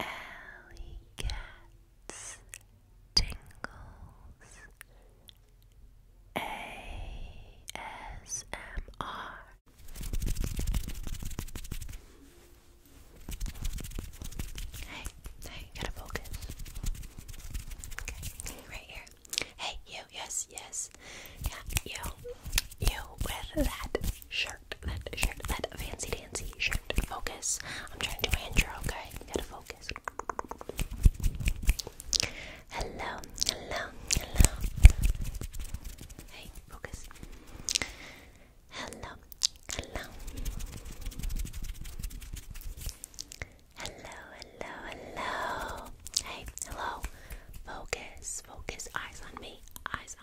Alley Cats Tingles ASMR Hey, hey, you gotta focus. Okay, right here. Hey, you, yes, yes. Yeah, you, you with that shirt shirt, that shirt, that fancy dancy shirt. Focus. I'm trying to do my intro, okay? You gotta focus. Hello, hello, hello. Hey, focus. Hello, hello. Hello, hello, hello. Hey, hello. Focus, focus. Eyes on me. Eyes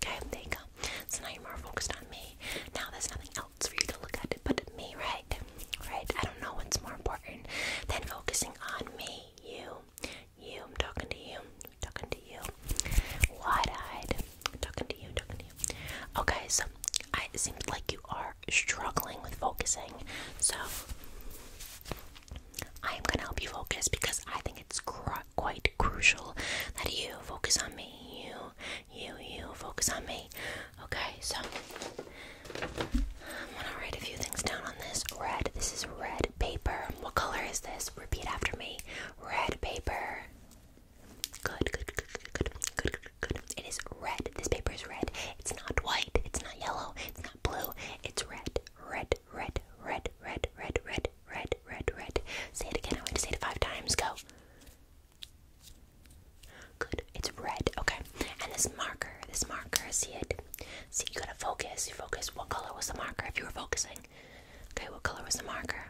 Okay, there you go. So now you're more focused on me. Now there's nothing else for you to look at but me, right? Right? I don't know what's more important than focusing on me, you. You, I'm talking to you, talking to you. Wide eyed, talking to you, talking to you. Okay, so I, it seems like you are struggling with focusing, so I am gonna help you focus because I think it's crucial quite crucial that you focus on me. You, you, you focus on me. Okay, so I'm gonna write a few things down on this. Red, this is red paper. What color is this? Repeat after me. Red paper. Good, good, good, good, good, good, good. It is red. This paper is red. It's not white. It's not yellow. It's not blue. It's red. Red, red, red, red, red, red red, red, red. Say it again. I want to say it five times. Go. Good. It's red. Okay. And this marker, this marker, see it? See, you gotta focus. You focus. What color was the marker if you were focusing? Okay, what color was the marker?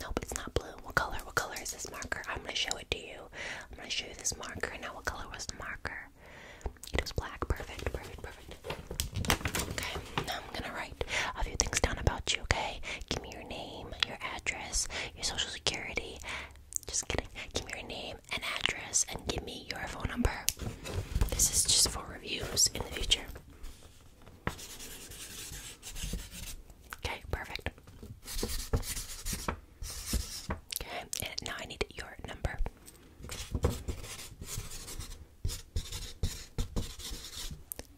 Nope, it's not blue. What color? What color is this marker? I'm gonna show it to you. I'm gonna show you this marker. Now, what color was the marker? It was black. Perfect, perfect, perfect. Okay, now I'm gonna write a few things down about you, okay? Give me your name, your address, your social security. Just kidding. Give me your name and address and give me your phone number. This is just for reviews in the future. Okay, perfect. Okay, and now I need your number.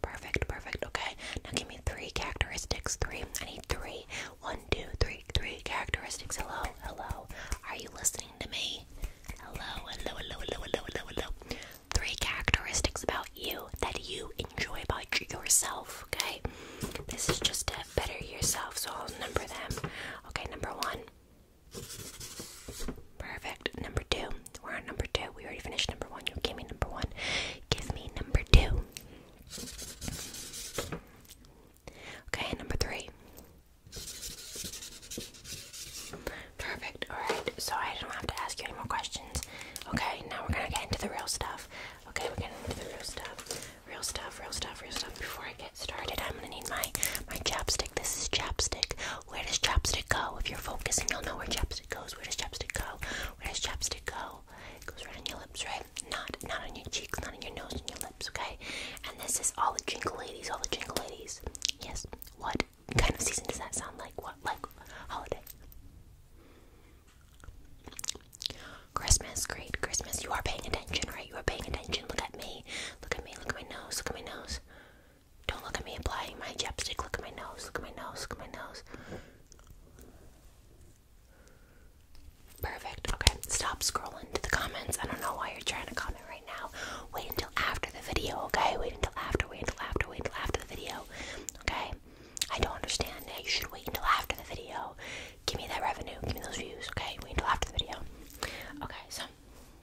Perfect, perfect. Okay, now give me three characteristics. Three. I need three. One, two, three, three characteristics. Hello, hello. Are you listening to me? Hello, hello, hello, hello, hello, hello, hello. Three characteristics about you that you enjoy about yourself. Okay, this is just to better yourself. So I'll number them. Okay, number one. Perfect. Number two. We're on number two. We already finished number one. You gave me number one. Give me number two. Okay, number three. Perfect. Alright, so I don't have to ask you any more questions. Okay, now we're gonna get into the real stuff. Okay, we're getting into the real stuff. Real stuff, real stuff, real stuff. Before I get started, I'm gonna need my my chapstick. This is chapstick. Where does chapstick go? If you're focusing, you'll know where chapstick goes. Where does chapstick go? Where does chapstick go? It goes right on your lips, right? Not not on your cheeks, not on your nose, on your lips, okay? And this is all the jingle ladies, all the jingle ladies. Yes. What kind of season does that sound like? What like holiday? Christmas, great Christmas. You are paying attention, right? You are paying attention. Look at me. Look at me. Look at my nose. Look at my nose. Don't look at me applying my chapstick. Look at my nose. Look at my nose. Look at my nose. Perfect. Okay, stop scrolling to the comments. I don't know why you're trying to comment right now. Wait until after the video, okay? Wait until after, wait until after, wait until after the video, okay? I don't understand You should wait until after the video. Give me that revenue. Give me those views, okay? Wait until after the video. Okay, so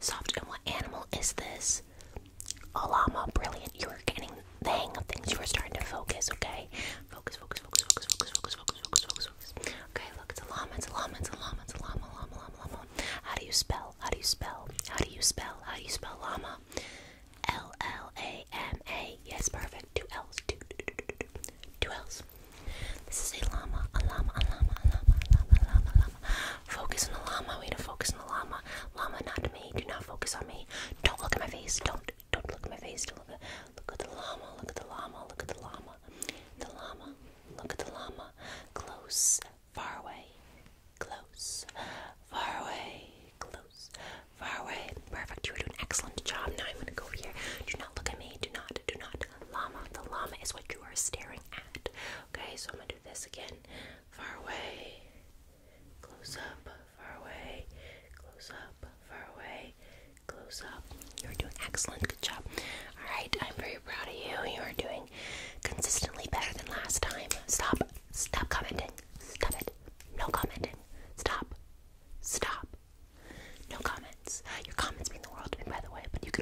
Soft. And what animal is this? A llama. Brilliant. You were getting the hang of things. You were starting to focus, okay? Focus, focus, focus, focus, focus, focus, focus, focus, focus, focus. Okay, look, it's a llama, it's a llama, it's a llama, it's a llama, llama, llama, llama. How do you spell? How do you spell? How do you spell? How do you spell llama? L L A M A. Yes, perfect. Two L's. Two, two, two, two, two. two L's. This is a llama, a llama, a llama, a llama, a llama, a llama, a llama. Focus on the llama. need to focus on the llama. Llama, not me. Do not focus on me. Don't look at my face. Don't don't look at my face. Don't look at the llama. Look at the llama. Look at the llama. The llama. Look at the llama. Close. Far away. Close. Far away. Close. Far away. Perfect. You are doing an excellent job. Now I'm gonna go here. Do not look at me. Do not. Do not. Llama. The llama is what you are staring at. Okay, so I'm gonna do this again. Far away, close up, far away, close up, far away, close up. You're doing excellent, good job. Alright, I'm very proud of you. You are doing consistently better than last time. Stop, stop commenting. Stop it. No commenting. Stop. Stop. No comments. Your comments mean the world to me, by the way, but you can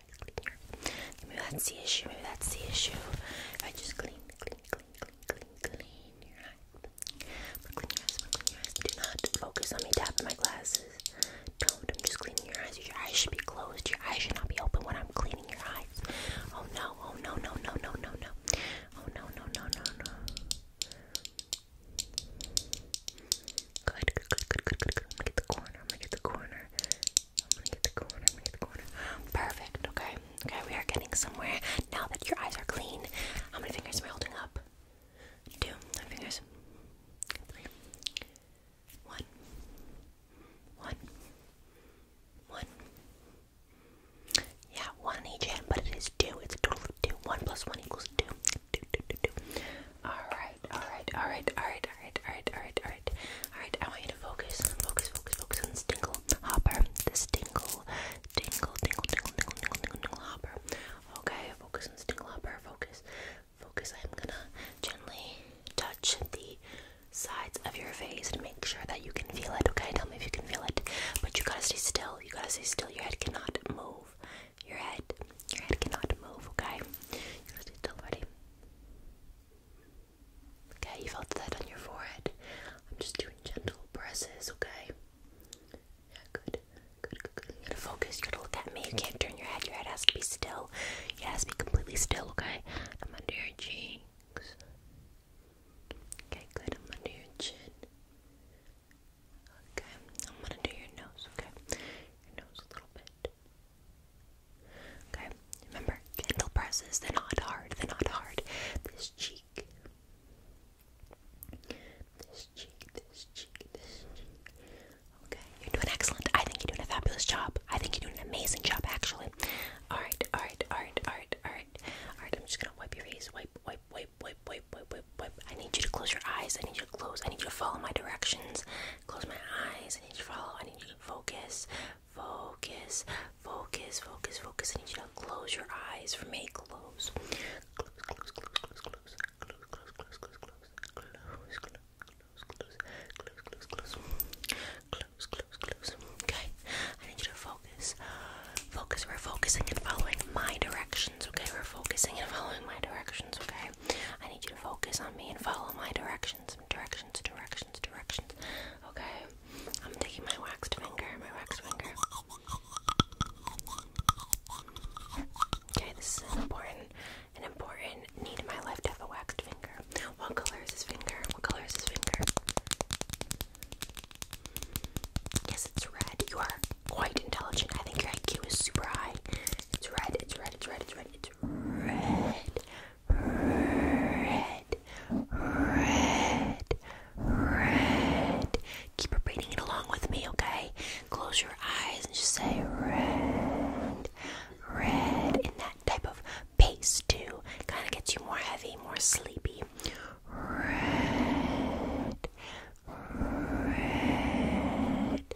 cleaner. Maybe that's the issue. Maybe that's the issue. I just clean, clean, clean, clean, clean, clean your eyes. But clean your eyes. But clean your eyes. Do not focus on me tapping my glasses. Don't. I'm just cleaning your eyes. Your eyes should be closed. Your eyes should not be open when I'm cleaning your eyes. Oh no. Oh no. No. No. No. No. No. Oh no. No. No. No. No. Good, good, good, good, good, good, good. I'm gonna get the corner. I'm gonna get the corner. Perfect. Okay. Okay. We are getting somewhere. Now that your eyes are clean, how many fingers are we holding up? Two. Nine fingers. One. One. One. Yeah, one each hand, but it is two. It's a total of two. One plus one equals two. Two, two, two, two. Alright, alright, alright, alright, alright, alright, alright, alright, Alright, alright, I want you to focus, focus, focus, focus on this tingle hopper. This tingle, tingle, tingle, tingle, tingle, tingle, tingle, tingle hopper. Okay, focus on this tingle hopper, focus, focus. I'm gonna gently touch the sides of your face to make sure that you can feel it, okay? Tell me if you can feel it. But you gotta stay still, you gotta stay still. Your head cannot move. Your head, your head cannot move, okay? You gotta stay still, buddy. Okay, you felt that on your forehead. I'm just doing gentle presses, okay? Yeah, good. Good, good, good. You gotta focus, you gotta look at me. You can't turn your head. Your head has to be still. You has to be completely still, okay? I'm under your cheeks. Okay, good. I'm under your chin. Okay, I'm gonna do your nose, okay? Your nose a little bit. Okay, remember, gentle presses, they're not hard, they're not hard. This cheek, this cheek, this cheek, this cheek. Okay, you're doing excellent. I think you're doing a fabulous job. I think you're doing an amazing job, actually. Alright, alright, alright, alright, alright. Alright, I'm just gonna wipe your face. Wipe, wipe, wipe, wipe, wipe, wipe, wipe, wipe. I need you to close your eyes. I need you to close. I need you to follow my directions. Close my eyes. I need you to follow. I need focus, focus, focus, focus, focus. I need you to close your eyes for me. Close. Close, close, close, close, close, close, close, close, close, close, close. Close, close, close, close, close, close, close. Okay, I need you to focus. Focus. We're focusing and following my directions. Okay, we're focusing and following my directions. Okay, I need you to focus on me and follow my directions some directions, directions, directions. Okay, I'm taking my waxed finger, my waxed finger. Okay, this is an important, an important need in my life to have a waxed finger. What color is his finger? What color is his finger? Yes, it's red. You are quite intelligent. I think your IQ is super high. It's red. It's red. It's red. It's red. It's red red, red, red, red. Keep repeating it along with me, okay? Close your eyes and just say red, red in that type of pace too. Kind of gets you more heavy, more sleepy. Red, red,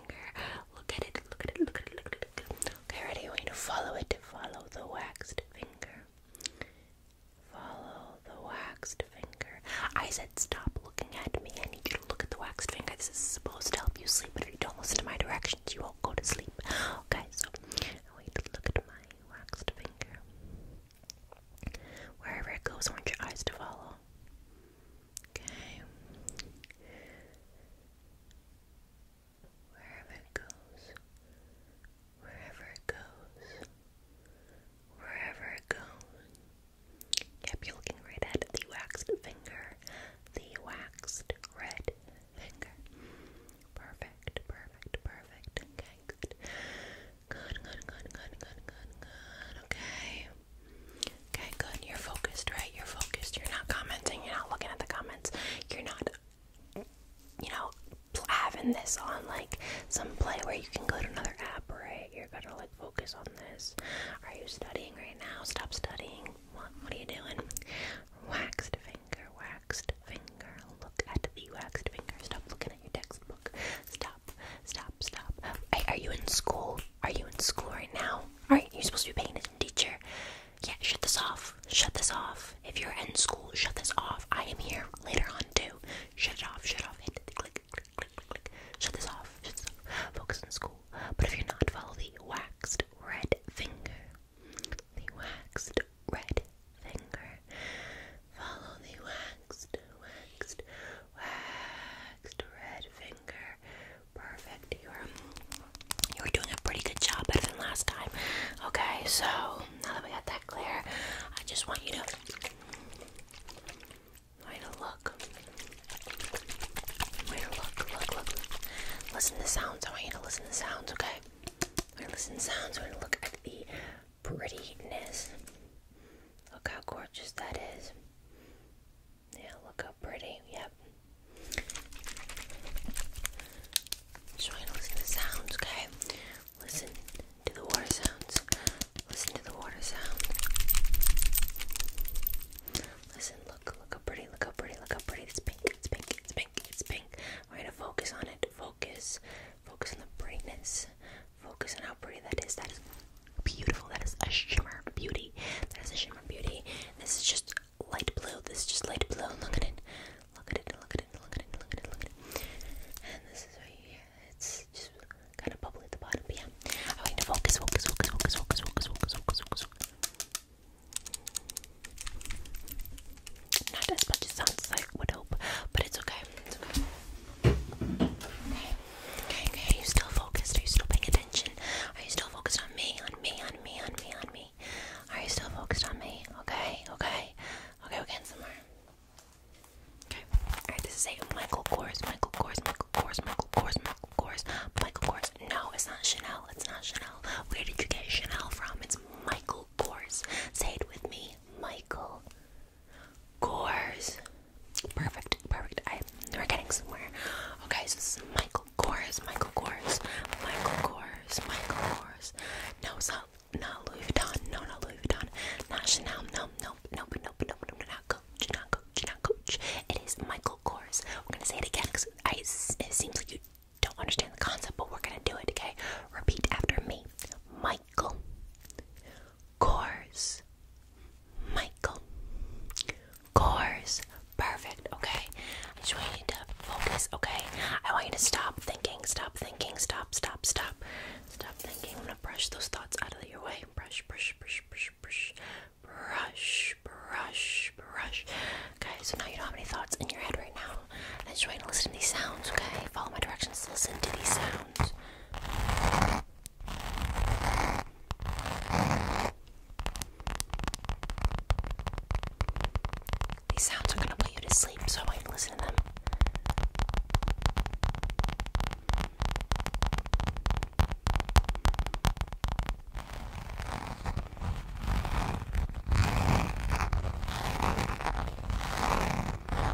Okay, ready? I want you to follow it. Follow the waxed finger. Follow the waxed finger. I said stop looking at me. I need you to look at the waxed finger. This is supposed to help you sleep, but if you don't listen to my directions, you won't go to sleep. Okay, so I want you to look at my waxed finger. Wherever it goes, I want your eyes to follow. Okay. Wherever it goes, wherever it goes, wherever it goes. Yep, you're looking right at the waxed finger, the waxed red finger. Perfect, perfect, perfect. Okay, good. Good, good, good, good, good, Okay you. Okay, good. You're focused, right? You're focused. You're not commenting. You're not looking at the comments. You're not, you know, having this on like some play where you can go to another app, right? You're gonna like focus on this. Are you studying right now? Stop studying. what are you doing? Waxed finger, waxed finger. Look at the waxed finger. Stop looking at your textbook. Stop stop, stop, Are, you in school? Are you in school right now? Alright, you're supposed to be paying attention, teacher. Yeah, shut this off. Shut this off. If you're in school, shut this off. I am here later on too. Shut it off, shut off. click, click, click, click. Shut this off. Shut off. Focus on school. But if you're not, follow the waxed red finger. The waxed red finger. Follow the waxed, waxed Waxed red finger. Perfect. You're doing a pretty good job better than last time. Okay, so now that we got that clear, I just want you to Wait to look. Wait to look, look, look. Listen to sounds. I want you to listen to sounds, okay? We're gonna listen sounds, we're gonna look at the prettiness Look how gorgeous that is. Yeah, look how pretty. Yep. trying to listen to sounds, okay? Listen to the water sounds. Listen to the water sound. Listen, look, look how pretty, look how pretty, look how pretty. It's pink, it's pink, it's pink, it's pink. We're gonna focus on it. Focus. Focus on the brightness Focus on how pretty that is. That is beautiful. That is a shimmer beauty. That is a shimmer beauty. This is just light blue. This is just light blue. Look at it. Look at it. Look at it. Look at it. Look at it. Look at it. And this is right here. It's just kind of bubbly at the bottom. But yeah, I want you to focus, focus, focus, focus, focus, focus, focus, focus, focus. Not as much as sounds as I would hope, but it's okay. It's okay. Okay, okay, are you still focused? Are you still paying attention? Are you still focused on me? On me, on me, on me, on me? Are you still focused on me? Okay, okay. Okay, we're getting somewhere. Okay. Alright, this is a Michael Kors, Michael Kors, Michael Kors, Michael Kors, Michael Kors, Michael Kors. No, it's not Chanel, it's not Chanel. Where did you get Chanel from? It's Michael Kors. Say it with me, Michael Kors. Perfect, perfect. I we're getting somewhere. Okay, so this is Michael Kors, Michael Kors, Michael Kors, Michael Kors. No, it's not not Louis Vuitton. No, not Louis Vuitton. Not Chanel. No, no, no, no, no, no, no, not Coach, not Coach, not Coach. It is Michael Kors. We're gonna say it again because I. It seems like you don't understand the concept, but we're gonna do it. Okay, repeat after me. Michael Coors. Michael. Coors. Perfect. Okay. I just want you to focus. Okay. I want you to stop thinking. Stop thinking. Stop, stop, stop. Stop thinking. I'm going to brush those thoughts out of your way. Brush, brush, brush, brush, brush. Brush, brush, brush. Okay, so now you don't have any thoughts in your head right now. I just want you to listen to these sounds, okay? Follow my directions. Listen to these sounds. These sounds are going to put you to sleep, so I can listen to them.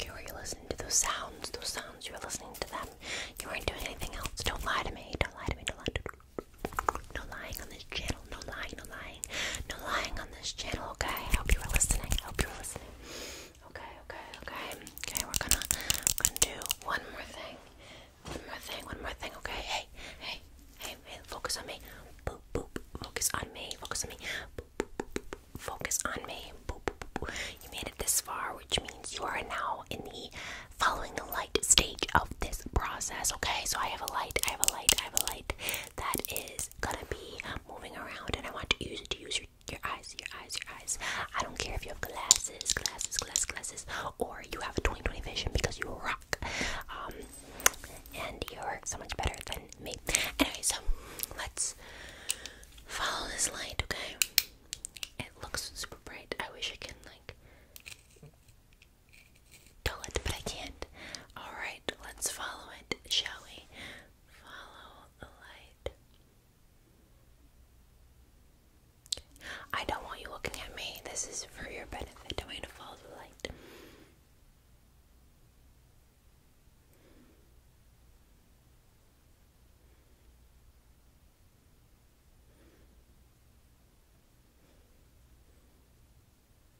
Okay, were you listening to those sounds? Those sounds, you were listening to them. You weren't doing anything else. Don't lie to me. Don't lie to me. Don't lie to me. No lying on on this channel. No lying, no lying, no lying on this channel. Okay, I hope you were listening. I hope you were listening. Okay, okay, okay, okay. We're gonna, we're gonna do one more thing, one more thing, one more thing. Okay, hey, hey, hey, hey focus on me. Boop, boop. Focus on me. Focus on me. Boop, boop, boop, boop. Focus on me. Boop, boop, boop. You made it this far, which means you are now in the following the light stage of this process. Okay, so I have a light. I have a light. I have a light that is gonna be moving around, and I want to use it to use your, eyes, your eyes, your eyes. I don't care if you have glasses, glasses, glasses, glasses, or you have a 20/20 vision because you rock, um, and you're so much better than me. Anyway, so let's follow this light, okay? It looks super bright. I wish I can like Dull it, but I can't. Alright, let's follow it, shall we? Follow the light. I don't want you looking at me. This is for your benefit. I want you to follow the light.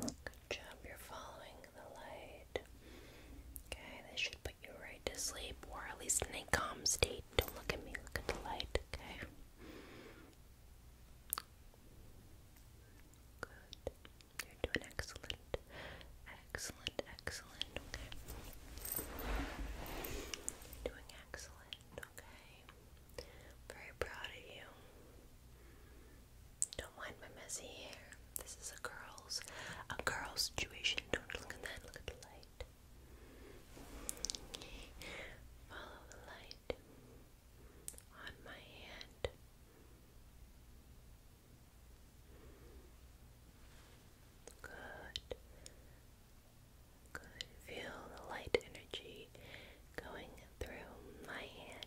Good job, you're following the light. Okay, this should put you right to sleep, or at least in a calm state. Don't look at me, look at the light, okay? Good. You're doing excellent. Excellent, excellent, doing excellent, okay? Very proud of you. Don't mind my messy hair. This is a girl's a girl situation. Don't look at that. Look light. Follow the light on my hand. Good. Good. Feel the light energy going through my hand.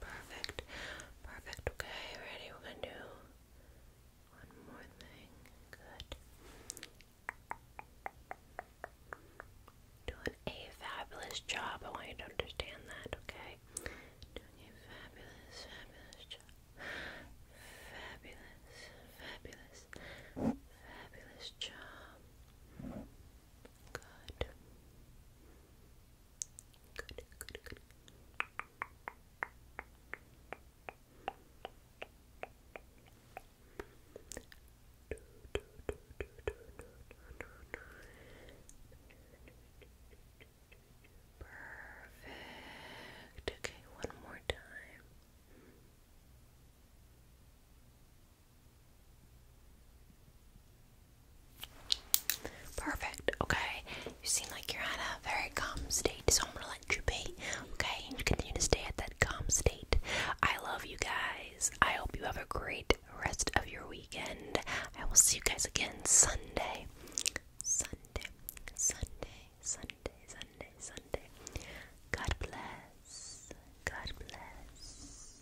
Perfect. Perfect. Okay, ready? We're gonna do one more thing. Good. Doing a fabulous job. I want you to understand that, okay? Doing a fabulous, fabulous job. Fabulous, fabulous, fabulous job. Good. Good, good, Perfect. Okay, one more time. Perfect, okay. You seem like you're at a very calm state, so I'm gonna let you be, okay? And you continue to stay at that calm state. I love you guys. I hope you have a great rest of your weekend. I will see you guys again Sunday. Sunday, Sunday, Sunday, Sunday, Sunday. God bless. God bless.